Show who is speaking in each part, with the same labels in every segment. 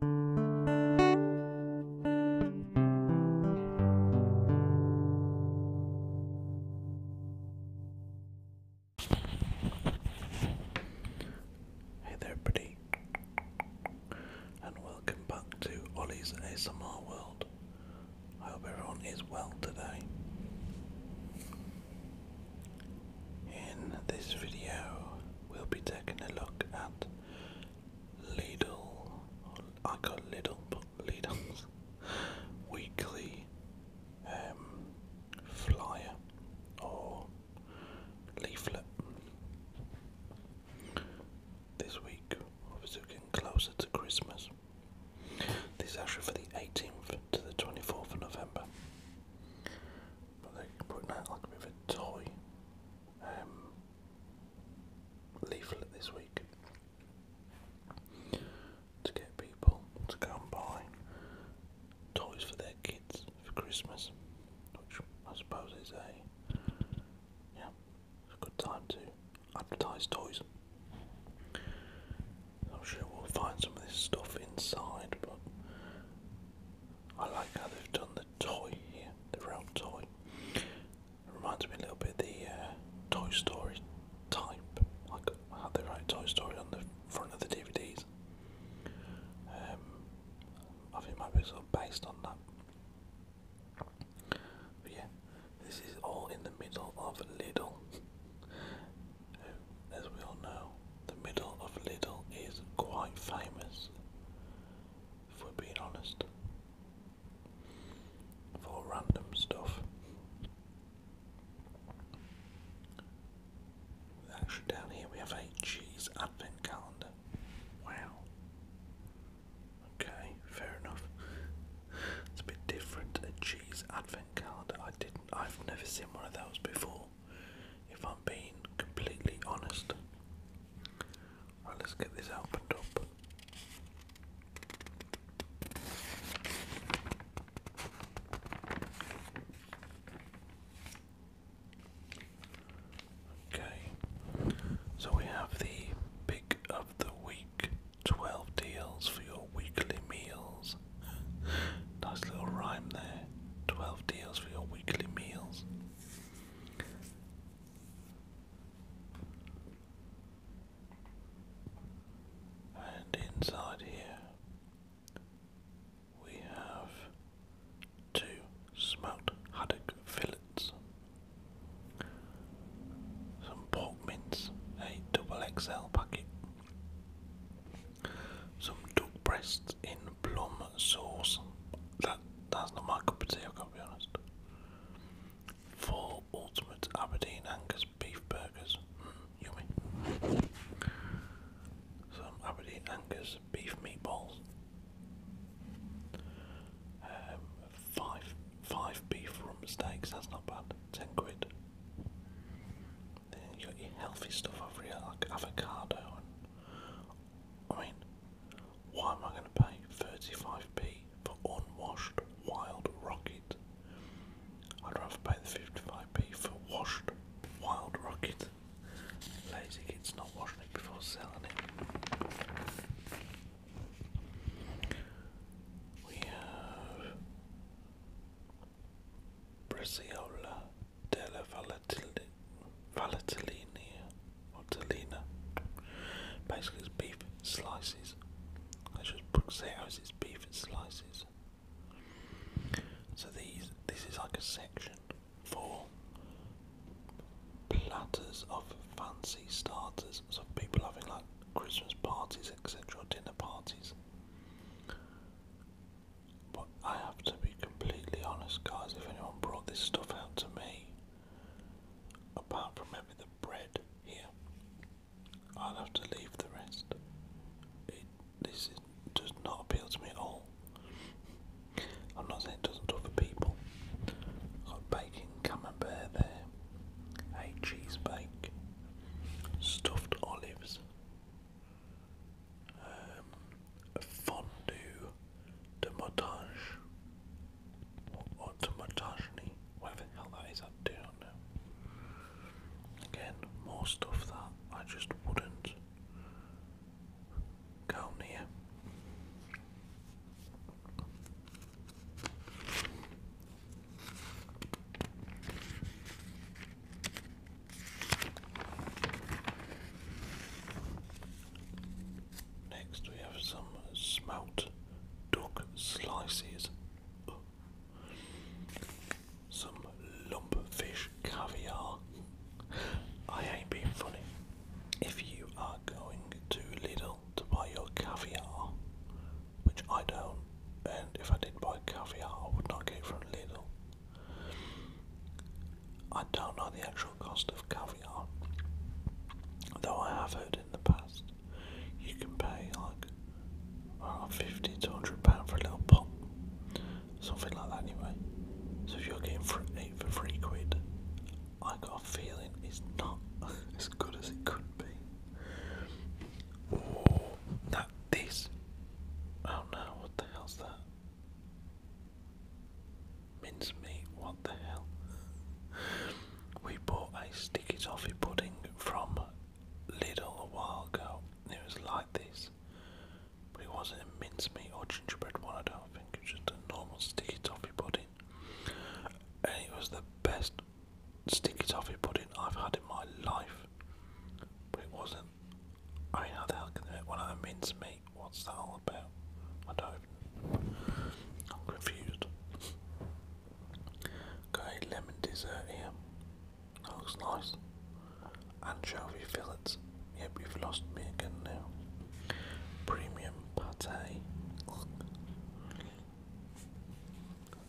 Speaker 1: Hey there, pretty, and welcome back to Ollie's ASMR World. I hope everyone is well today. In this video, we'll be taking a look at Lidl, I call Lidl, but Lidl's weekly um, flyer or leaflet. This week, obviously, we're getting closer to Christmas. This is actually for the 18th to the 24th of November they're putting out like a bit of a toy um, leaflet this week to get people to go buy toys for their kids for Christmas, I suppose is a yeah a good time to advertise toys. I'm sure we'll find some of this stuff inside, but I like how they've done the toy here, the round toy. reminds me a little bit of the uh, Toy Story type, like how they write Toy Story on the front of the DVDs. Um, I think it might be sort of based on that. yeah, this is all in the middle of little, um, as we all know. The middle of little is quite famous, if we're being honest, for random stuff. Actually, down here we have a cheese advent calendar. Wow. Okay, fair enough. it's a bit different. A cheese advent calendar. I didn't. I've never seen one of those before if I'm being completely honest. Right, let's get this opened up. Okay, so we have the pick of the week 12 deals for your weekly meals. nice little rhyme there. 12 deals for your weekly meals. And inside here we have two smoked haddock fillets, some pork mince, a double XL packet, some duck breasts in plum sauce. That that's not my cup of tea. I can't be honest. Four ultimate Aberdeen Angus beef burgers. Mm, yummy. Some Aberdeen Angus beef meatballs. Um, five five beef from steaks. That's not bad. Ten quid. Then you got healthy stuff over here, like avocado and I mean, why am I going to pay 35p for unwashed wild rocket? I'd rather pay the 55p for washed wild rocket. Lazy kid's not washing it before selling it. We have Braciola della Valtellina or Tellina. Basically, beef slices. I should say it as beef slices. So these, this is like a section for platters of fancy starters. So people having like Christmas parties, etc., dinner parties. But I have to be completely honest, guys, if anyone brought this stuff out to me, apart from maybe the bread here, i will have to leave the rest. It, this does not appeal to me at all. I'm not saying it doesn't to other people. Got bacon camembert there, a cheese bake, stuffed olives, um, fondue demotage, montage or, or whatever the hell that is, I do not know. Again, more stuff that I just wouldn't go near. Next, we have some smelt duck slices, some lump fish caviar. I ain't being funny. If you are going to Lidl to buy your caviar, which I don't, and if I did buy caviar, I would not go for from Lidl. I don't know the actual cost of caviar, though I have heard in the past you can pay like around uh, 50 to 100 pounds for a little pot, something like that anyway. So if you're getting for eight for three quid, I got a feeling it's not as good as it could be. that this. Oh no, what the hell's that? Mincemeat, what the hell? we bought a sticky toffee pudding from Lidl a while ago. It was like this, but it wasn't a mincemeat or gingerbread one, I don't think. It just a normal sticky toffee pudding. And it was the best sticky toffee pudding I've had in my life. But it wasn't I mean, how the hell can they make What's that all about? I don't. I'm confused. Okay, lemon dessert here. looks nice. Anchovy fillets. Yep, you've lost me again now. Premium pate.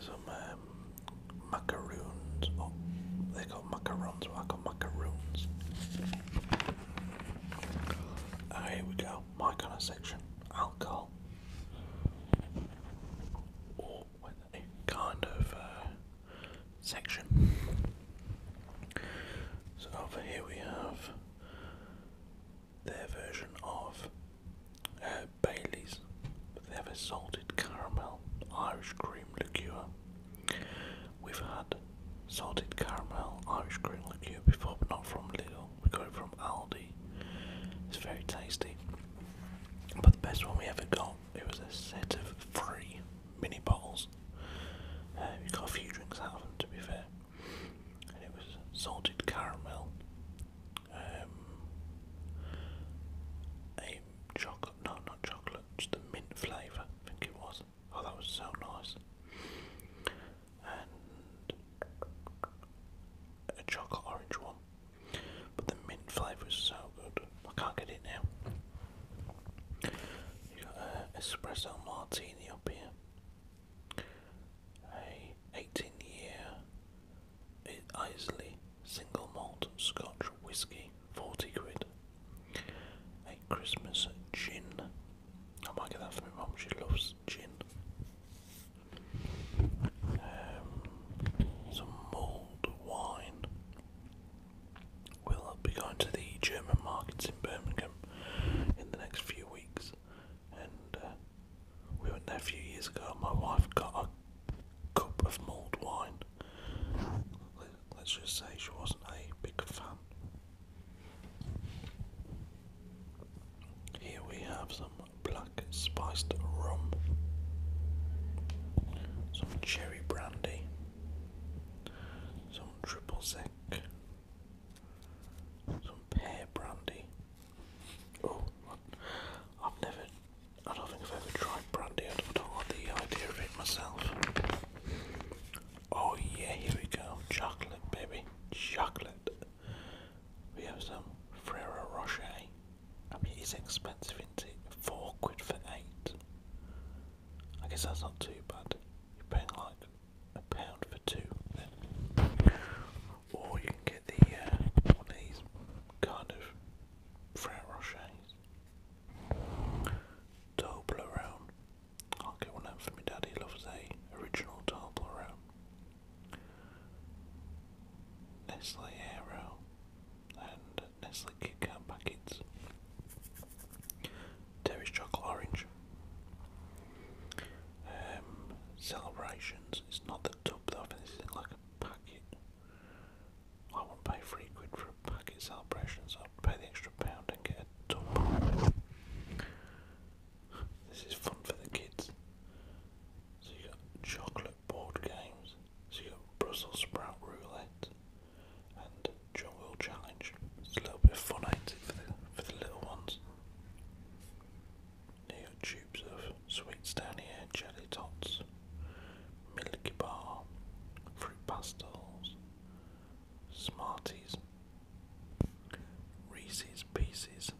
Speaker 1: Some um, macaroons. Oh, they call macarons, I call macaroons. Oh, here we go. My kind of section. Alcohol. Or a kind of uh, section. So over here we have their version of uh, Bailey's. But they salted caramel Irish cream liqueur. We've had salted caramel Irish cream liqueur before, but not from Lidl. We got it from Aldi. It's very tasty. But the best one we ever got, it was a set of three mini bottles. Uh, we got a few drinks out of them, to be fair. And it was salted caramel, um, chocolate, no, not chocolate, just the mint flavour, I think it was. Oh, that was so nice. And a chocolate orange one, but the mint flavour is so good. I can't get it now. You got an uh, espresso martini up here. A 18 year Islay single malt Scotch whiskey. 40 quid. A Christmas gin. I might get that for my mum, she loves gin. Um, some mulled wine. We'll be going to the German markets in Birmingham in the next few weeks. And uh, we went there a few years ago. My wife got a cup of mulled wine let's just say she wasn't a big fan. Here we have some black spiced rum, some cherry brandy, some triple sec, some pear brandy. Oh, I've never I don't think I've ever tried brandy. I don't want the idea of it myself. Oh yeah, here we go. Chocolate, baby. Chocolate. We have some Frere Rocher. I mean, it's expensive, is it? Four quid for eight. I guess that's not too bad. You're paying like a pound for two. Or you can get the uh, kind of Frere Rochers. Toblerone. I'll get one out for my daddy. loves a original Toblerone. Nestle Aero and Nestle Kit Kat packets. Terry's chocolate orange. Um, celebrations. It's not the tub though. this is like a packet. I want to pay three quid for a packet celebration, so I'll pay the extra pound and get a tub. This is fun for the kids. So you got chocolate board games, so you got Brussels sprout roulette and jungle challenge. It's a little bit of fun, ain't it, for the for the little ones. You got tubes of sweets down here, jelly tots, Cheetos, Milky Bar, Fruit Pastels, Smarties, Reese's Pieces.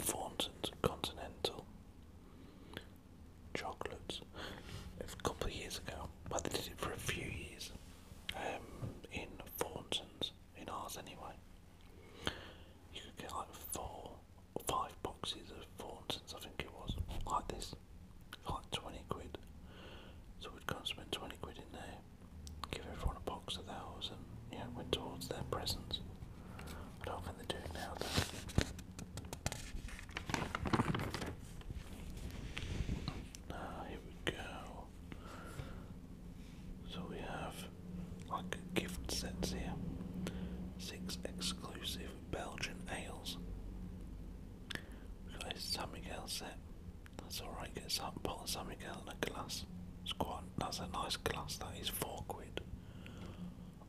Speaker 1: Thornton's Continental chocolates. A couple of years ago, but they did it for a few years um, in Thornton's in ours anyway. You could get like four or five boxes of four I think it was, like this, like 20 quid. So we'd go spend 20 quid in there, give everyone a box of those, and yeah, you know, went towards their presents. I don't think they do it now, though. Now, here we go. So we have like gift sets here. Six exclusive Belgian ales. We've got a San Miguel set. That's alright, get some pot the San Miguel in a glass. It's quite that's a nice glass, that is four quid.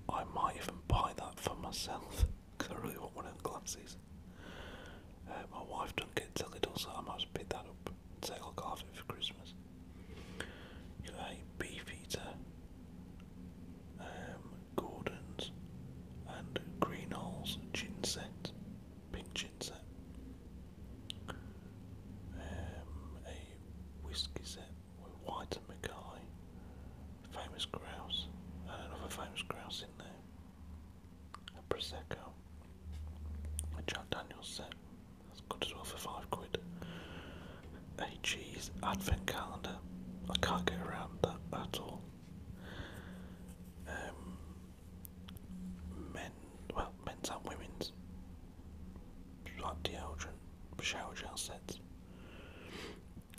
Speaker 1: I might even buy that for myself because I really want one of the glasses. Uh, my wife don't get teledol, so I might just pick that up and take a look it for Christmas. You know, a beef eater, um, Gordon's, and Greenhall's gin set, pink gin set. Um, a whiskey set with White and Mackay, famous grouse, I don't and another famous grouse in there a Prosecco, a Jack Daniels set, that's good as well for five quid, a cheese advent calendar, I can't get around that at all. Um, men, well, men's and women's, like deodorant, shower gel sets.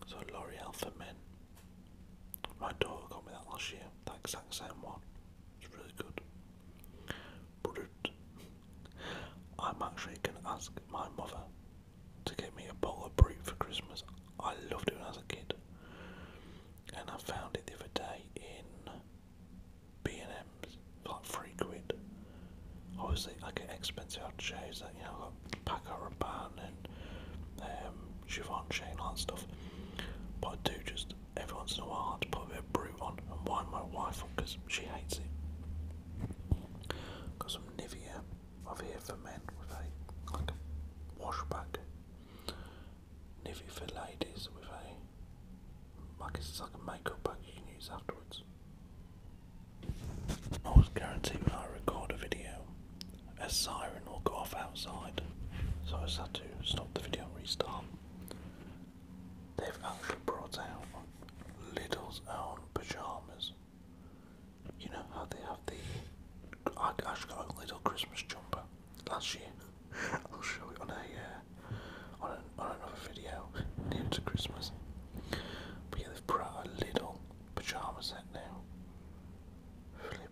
Speaker 1: So L'Oreal for men. My daughter got me that last year, that exact same one. It's really good. Brut. I'm actually going to ask my mother to get me a bowl of brute for Christmas. I loved it as a kid. And I found it the other day in B&M's for like three quid. Obviously, I get expensive out shows that, you know, I've got Paco Rabanne and um, Siobhan Shane, all that stuff. But I do just every once in a while I had put a bit of brute on and wind my wife up she hates it. Got some Nivea over here for men with a like a washback. Nivea for ladies with a like it's like a makeup bag you can use afterwards. I always guarantee I record a video, a siren will go off outside, so I just had to stop the video and restart. They've actually brought out little's own pyjamas. You know how they have the. I actually got a little Christmas jumper last year. I'll show it on a uh, on, an, on another video near to Christmas. But yeah, they've brought out a little pyjama set now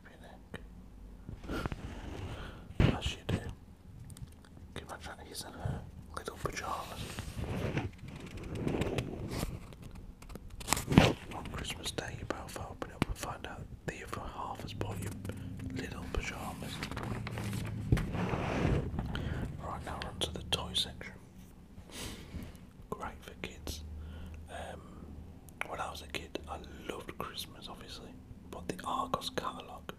Speaker 1: everything. As you do. imagine he's in her little pajamas? On Christmas Day, you both open up and find out the other half has bought you little pajamas. Right now, on the toy section. Great for kids. Um, when I was a kid, I loved Christmas, obviously, but the Argos catalogue,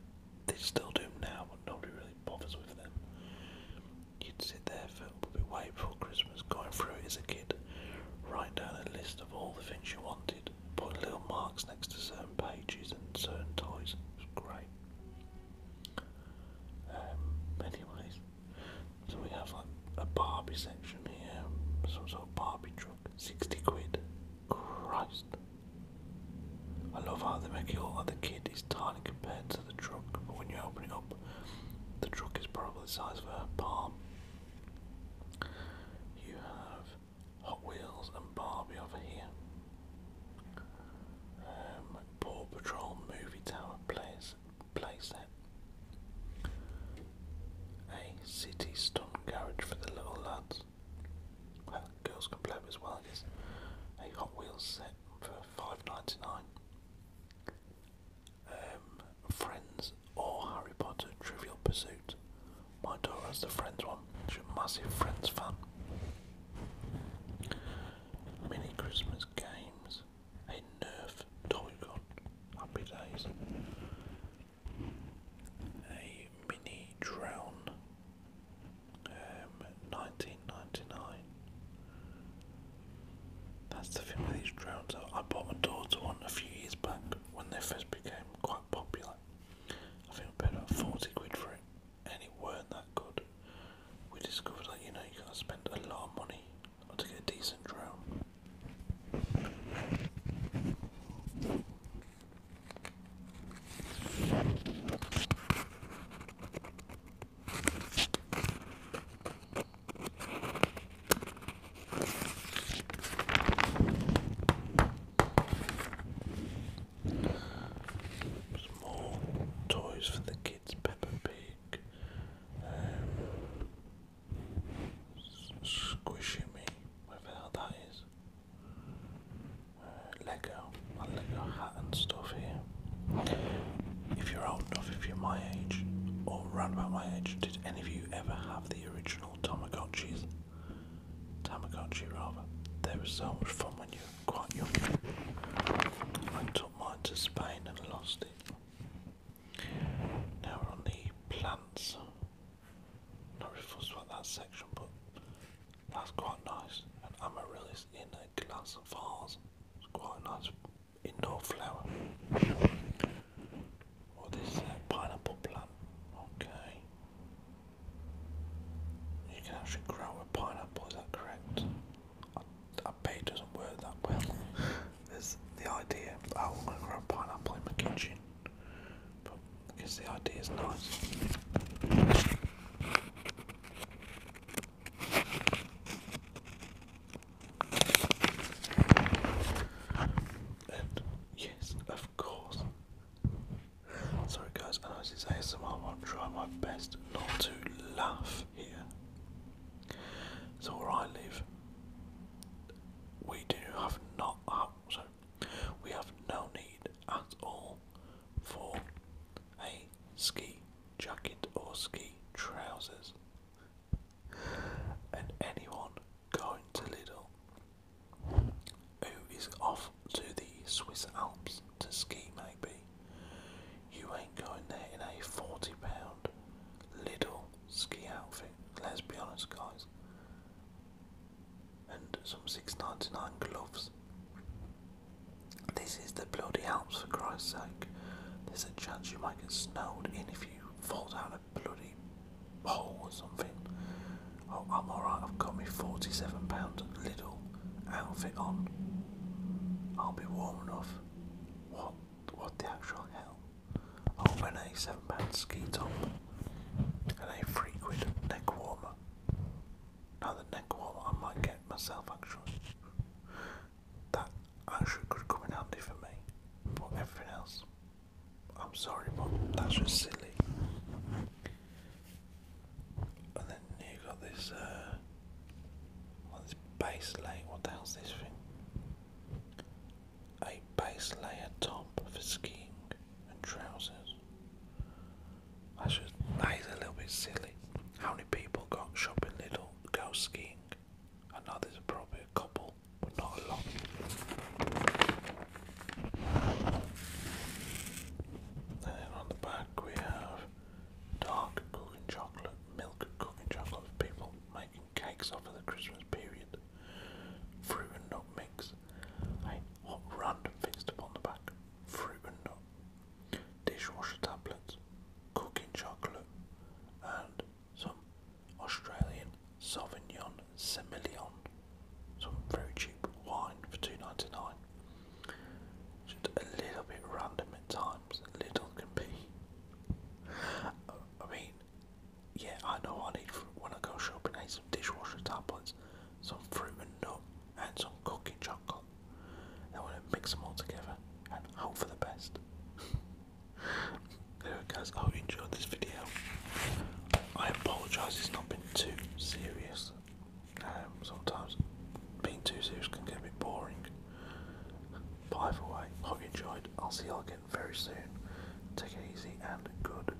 Speaker 1: they still do now, but nobody really bothers with them. You'd sit there for probably way before Christmas, going through it as a kid, write down a list of all the things you wanted, put little marks next to certain pages and certain toys. It was great. Um, anyways, so we have like a Barbie section here, some sort of Barbie truck. 60 quid. Christ. I love how they make it all like tiny compared to the truck, but when you open it up, the truck is probably size of a palm. You have Hot Wheels and Barbie over here. Um, Paw Patrol Movie Tower play, play a city stunt garage for the little lads. Well, girls can play as well, I A Hot Wheels set for five ninety nine. Um, Friends or Harry Potter Trivial Pursuit. My daughter has the Friends one. She's a massive Friends fan. Mini Christmas games. A Nerf toy gun. Happy days a mini drown, um, 1999. That's the thing with these drowns. I bought my daughter one a few years back when they first became quite popular. I think I paid about 40 quid for it, and it weren't that good. We discovered that you know you gotta spend a lot of money to get a decent drone. Some more toys for the kids, Peppa Pig. Um, squishing me, whatever the hell that is. Uh, Lego, my Lego hat and stuff here. If you're old enough, if you're my age, or around about my age, did any of you ever have the original Tamagotchis? Tamagotchi rather. They were so much fun when you were quite young. I took mine to Spain and lost it. Now we're on the plants. Not really fussed that section, but that's quite nice. And amaryllis in a glass vase. It's quite nice indoor flower. Or this pineapple plant. Okay. You can actually grow a pineapple, is that correct? I, I doesn't work that well. Is the idea, oh, I'm going to grow a pineapple in my kitchen but guess the idea is nice. And yes, of course. Sorry, guys, I know this is ASMR, I'll try my best not to laugh here. It's all right. Leave. we do have not so, we have no need at all for a ski jacket or ski trousers. And anyone going to Lidl who is off to the Swiss Alps to ski maybe, you ain't going there in a forty pound Lidl ski outfit. Let's be honest guys and some six ninety nine gloves. This is the bloody Alps for Christ's sake. There's a chance you might get snowed in if you fall down a bloody hole or something. Oh, I'm alright, I've got my £47 little outfit on. I'll be warm enough. What what the actual hell? over a seven pound ski top and a three quid neck warmer. Now the neck warmer I might get myself actually. That actually could come in handy for me. But everything else I'm sorry but that's just silly. And then you got this uh, this base lane, what the hell's this thing? a base layer top for skiing and trousers. That is a little bit silly. How many people go shopping little go skiing? I know there's probably a couple, but not a lot. then on the back we have dark cooking chocolate, milk cooking chocolate people making cakes over the Christmas period. Fruit and nut mix. A hot random fixed upon the back. Fruit and nut. Dishwasher tablets. Cooking chocolate. And some Australian Sauvignon Semillon. Some very cheap wine for two ninety nine. Just a little bit random at times. Little can I mean, yeah, I know I need when I go shopping. I need some dishwasher tablets, some fruit and nut, and some cooking chocolate. Then I'm going to mix them all together and hope for the best. There, guys, I hope you enjoyed this video. I apologise it's not been too serious. Um, sometimes being too serious can get a bit boring. By the way, hope you enjoyed. I'll see you all again very soon. Take it easy and good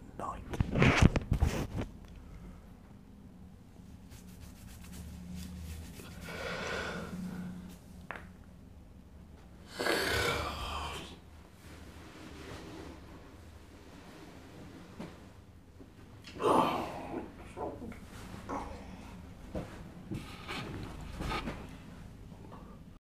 Speaker 1: night.